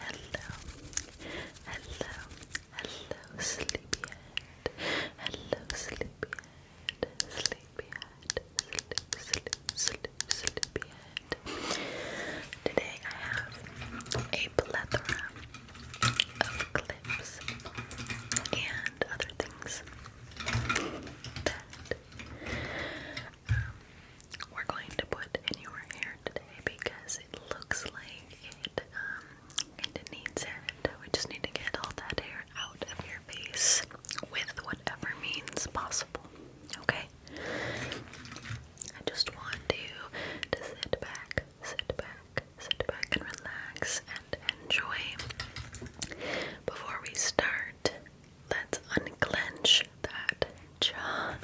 Hello, hello, hello, sleepyhead. Hello, sleepyhead, sleepyhead, sleepy, sleep, sleep, sleepyhead. Today I have a plethora of clips and other things we're going to put in your hair today because it looks like it um it needs it. We just need to get all that hair out of your face with whatever means possible. Okay? I just want you to sit back, sit back, sit back and relax and enjoy. Before we start, let's unclench that jaw.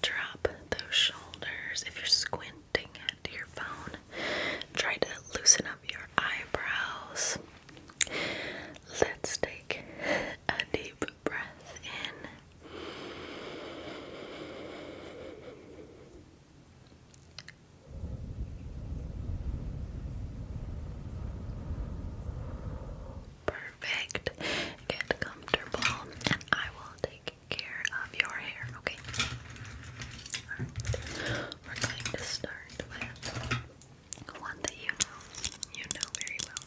Drop those shoulders. If you're squinting at your phone, try to loosen up your eyebrows. Let's take a deep breath in. Perfect. Get comfortable, and I will take care of your hair, okay? We're going to start with one that you know. You know very well.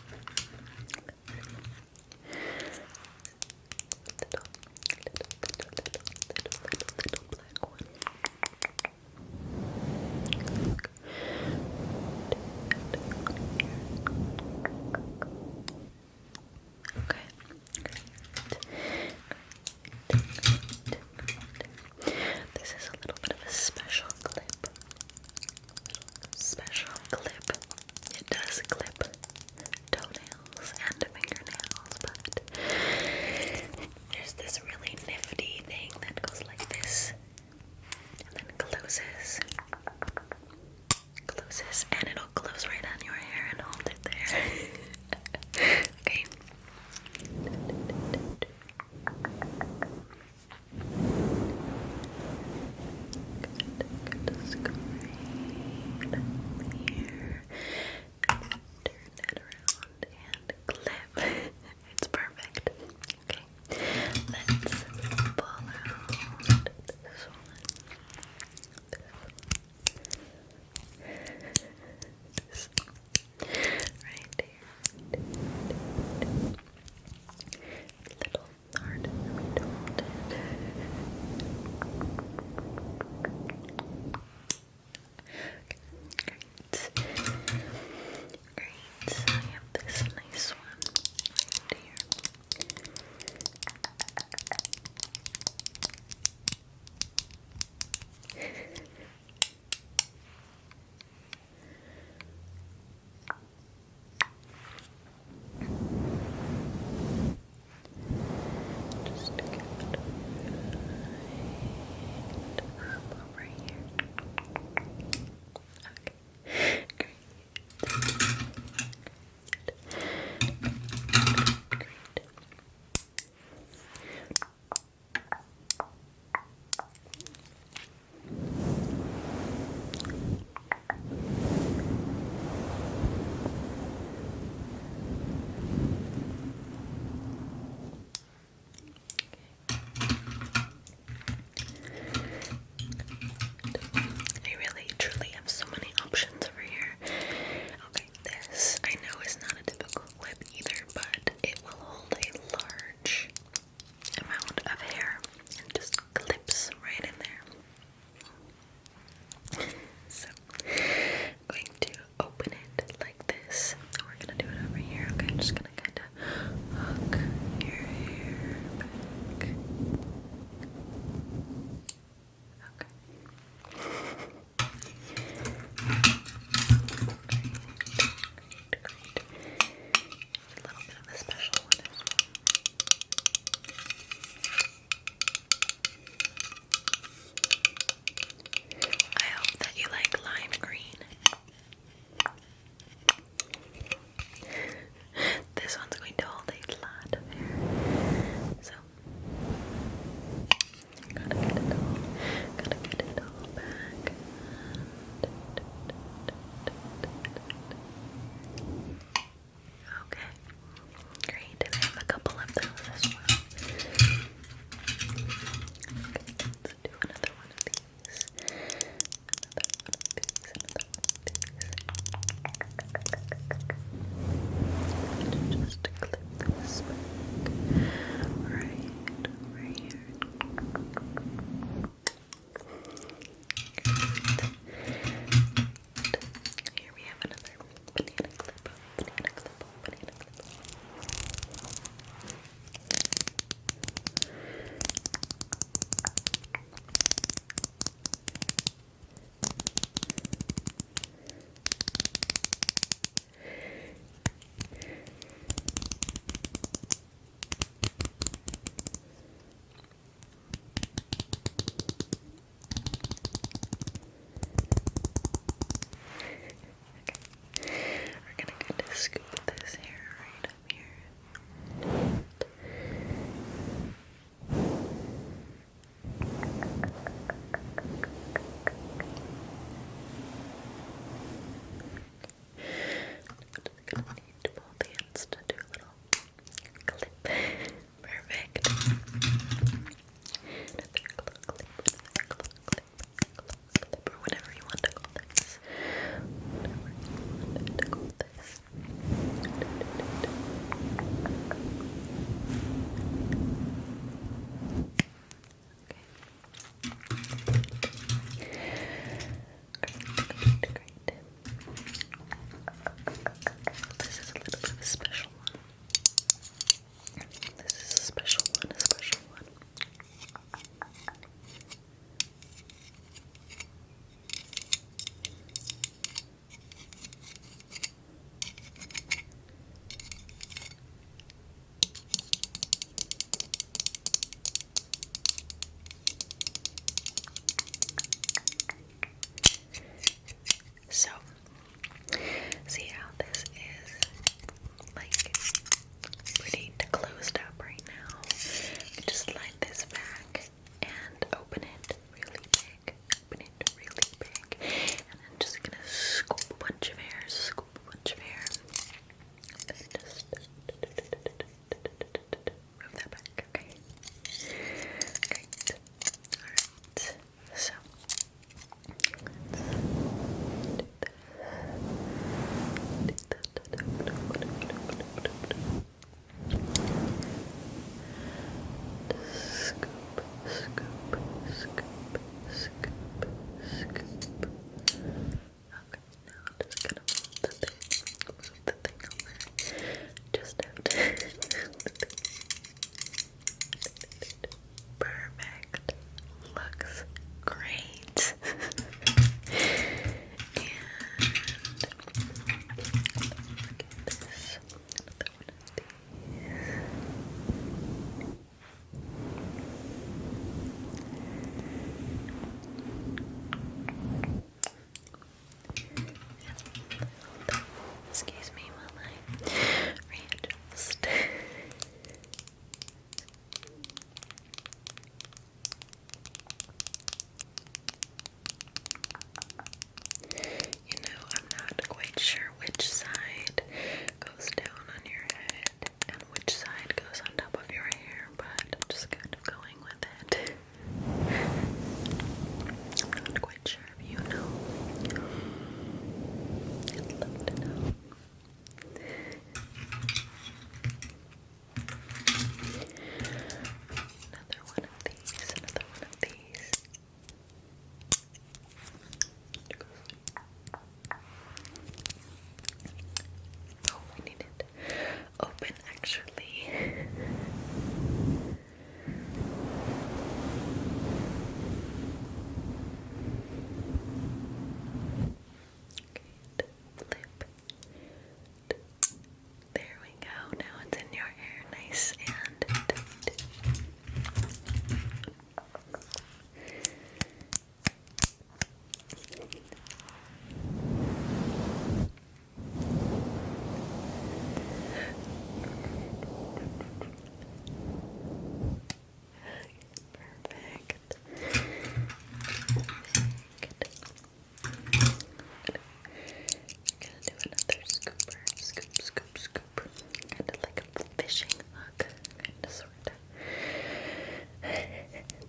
Okay. This is a little bit of a special clip special clip. It does clip toenails and fingernails, but there's this really nifty thing that goes like this and then closes. Closes and it'll close right on your hair and hold it there. okay. Good, good. Scrape Turn that around and clip. it's perfect. Okay. Let's pull out This one. Right here. A little hard for Great. Great. I have this nice one right here. Just get right up over here. Okay, great. Great. Great. I really truly have so many options over here. Okay, this I know is not a typical lip either, but it will hold a large amount of hair and just clips right in there. So I'm going to open it like this. We're gonna do it over here. Okay, I'm just gonna kind of hook your hair Okay. I hope that you like lime green. this one's going to hold a lot of hair. So, gotta get it all, gotta get it all back. Okay. Great. I have a couple of those as well. let's do another one of these. Another one of these. Another one of these. Just clip this Right over here. Good. Here we have another banana clip. Banana clip. Banana Okay. We're gonna kind of scoop this hair right up here just gonna need both hands to do little clip. Perfect. Another clip, clip, another clip, clip, clip, clip, or whatever you want to call this. Whatever you want to call this. Okay. Great, This is a little bit special one. This is a special one, a special one. So, see how this is like pretty closed up right now. I just slide this back and open it really big. Open it really big. And I'm just gonna scoop a bunch of hair, scoop a bunch of hair. Let's just move that back, okay? Great. Alright, so Scoop, scoop, scoop, scoop, scoop. Okay, now I'm just gonna move the thing, move the thing over. Just Perfect. Looks great. and this. Another one of these. Excuse me while I readjust. You know, I'm not quite sure which side goes down on your head which side goes on top of your hair, but I'm just kind of going with it. not quite sure if you know. I'd love to know. Another one of these, another one of these. Oh, I need it open actually. okay, flip. There we go. Now it's in your hair, nice and tight. Perfect. Perfect. I'm gonna do another scooper. Scoop, scoop, scoop. Kind of like a fishing hook. Kind of, sort sound.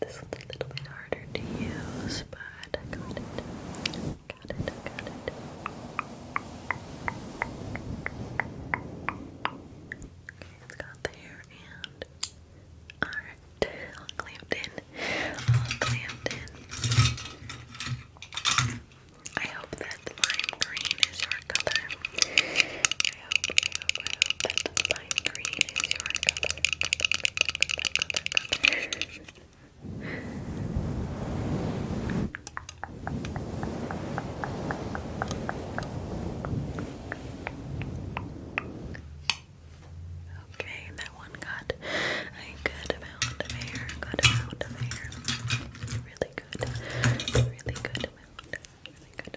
this one's a little bit harder to use, but got it. Got it, got it. Okay, it's got there and alright, all clamped in. All clamped in. I hope that lime green is your color hope, I Okay, that one got a good amount of hair, good amount of hair. Really good, really good amount, really good amount.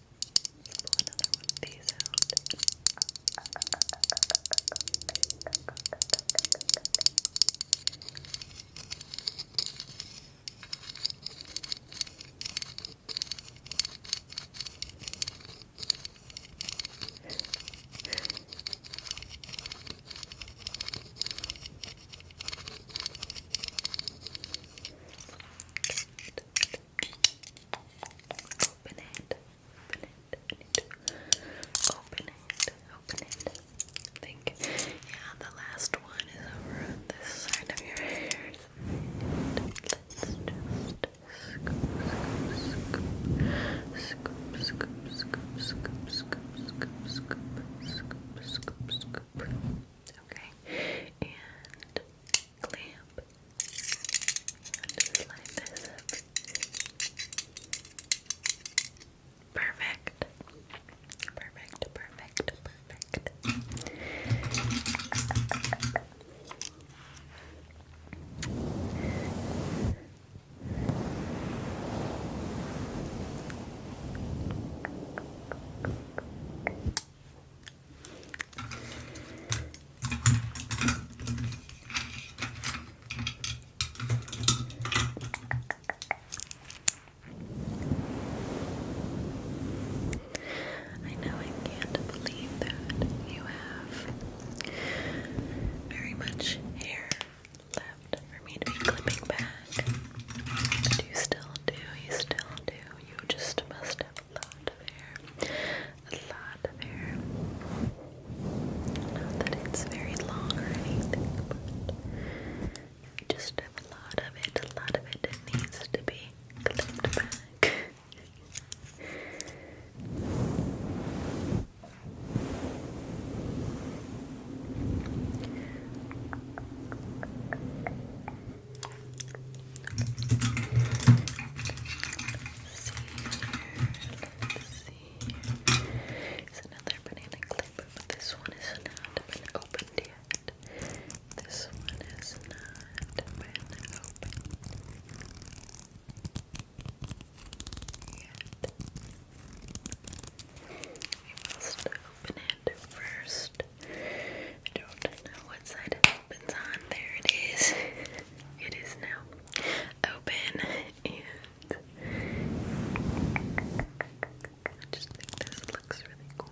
pull another one of these out. Open it. Open it. Open it. Open it. think. Yeah, the last one is over this side of your hair. Let's just scoop, scoop, scoop, scoop, scoop, scoop, scoop, scoop, scoop, scoop, scoop, scoop, scoop. Okay, and clamp. And just this Perfect. Perfect, perfect, perfect. I know I can't believe that you have very much hair left for me to be clipping back. But you still do, you still do you just must have a lot of hair. A lot of hair. Not that it's very long or anything, but you just have a lot of it. A lot of it needs to be clipped back another banana clip, but this one is not been opened yet. This one has not been opened yet. You must open it first. I don't know what side it opens on. There it is. It is now open I just think this looks really cool.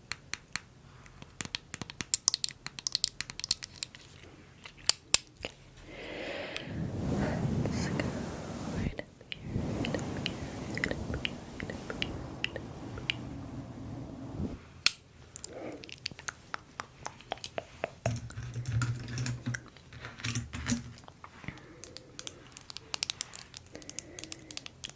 Let's go right up here, right up here, right up here, right up here, right up here.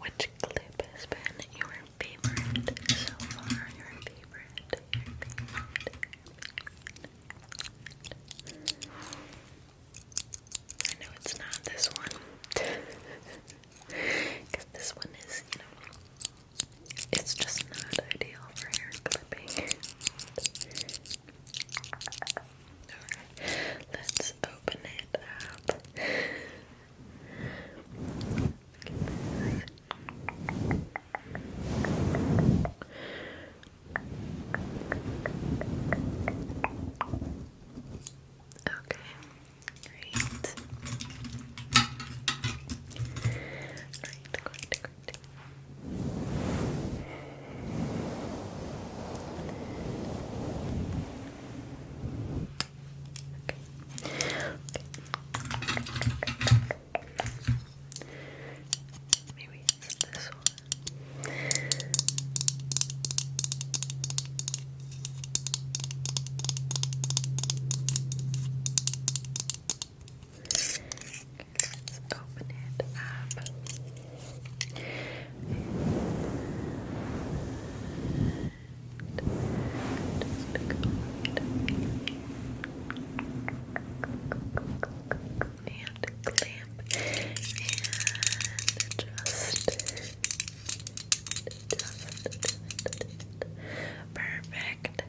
Which clip has been your favorite so far? Your favorite, I know it's not this one. this one is, you know, it's just not ideal for hair clipping. Alright, let's open it up. Okay, great. Right, great. Okay. okay. Maybe it's this one. Let's open it up. And clamp and adjust. Perfect.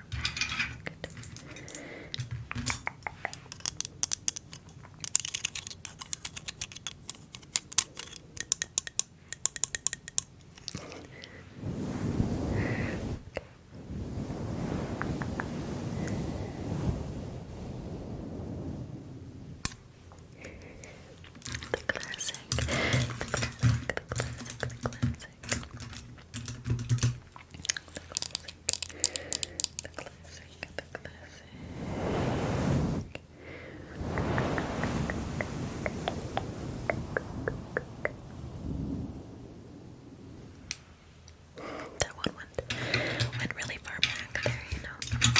Perfect. The classic, the classic, the classic, the classic the That one went, went really far back there, you know.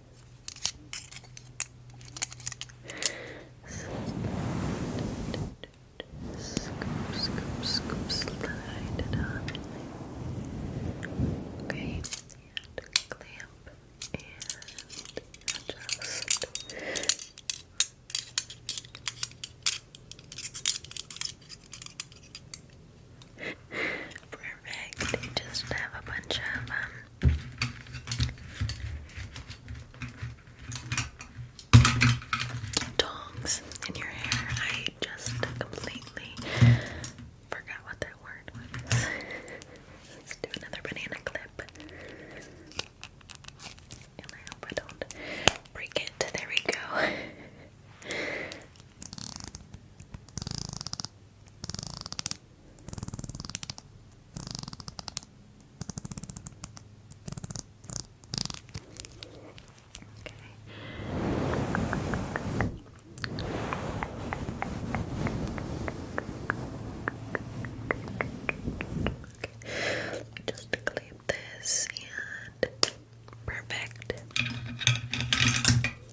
Scoop, scoop, scoop, slide it on. Okay, and clamp and adjust. Brad perfect. Just have a bunch of um in your hair. I just completely forgot what that word was. Let's do another banana clip. And I hope I don't break it. There we go okay. Just clip this and perfect.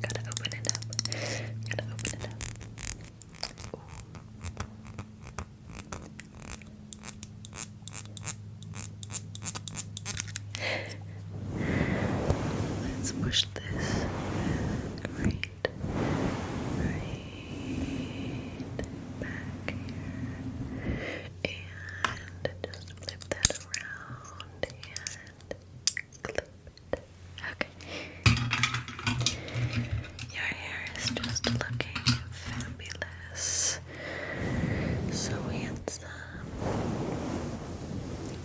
Gotta open it up. Gotta open it up. Let's push this. Right back here. And just flip that around. Okay. Your hair is just looking fabulous. So handsome.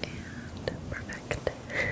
And perfect. okay.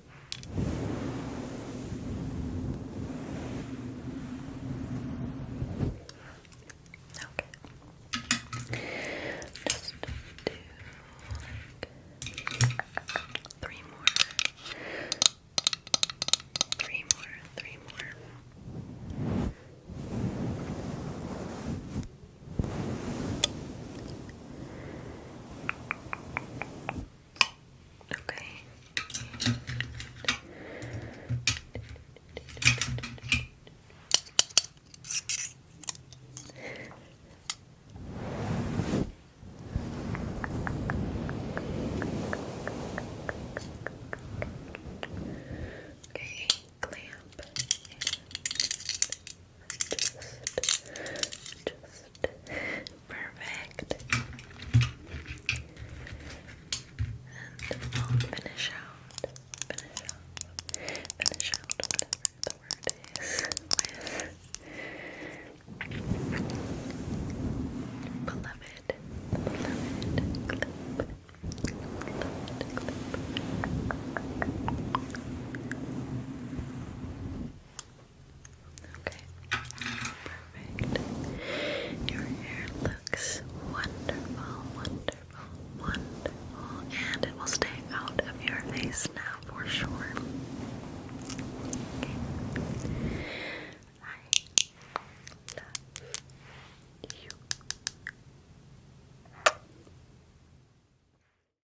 Okay. Just do three more. Three more, three more. Okay. Okay, clamp just, just perfect. And finish out, finish out, finish out the word is beloved, Okay, perfect. Your hair looks wonderful, wonderful, wonderful, and it will stay out of your face now for sure. I love you.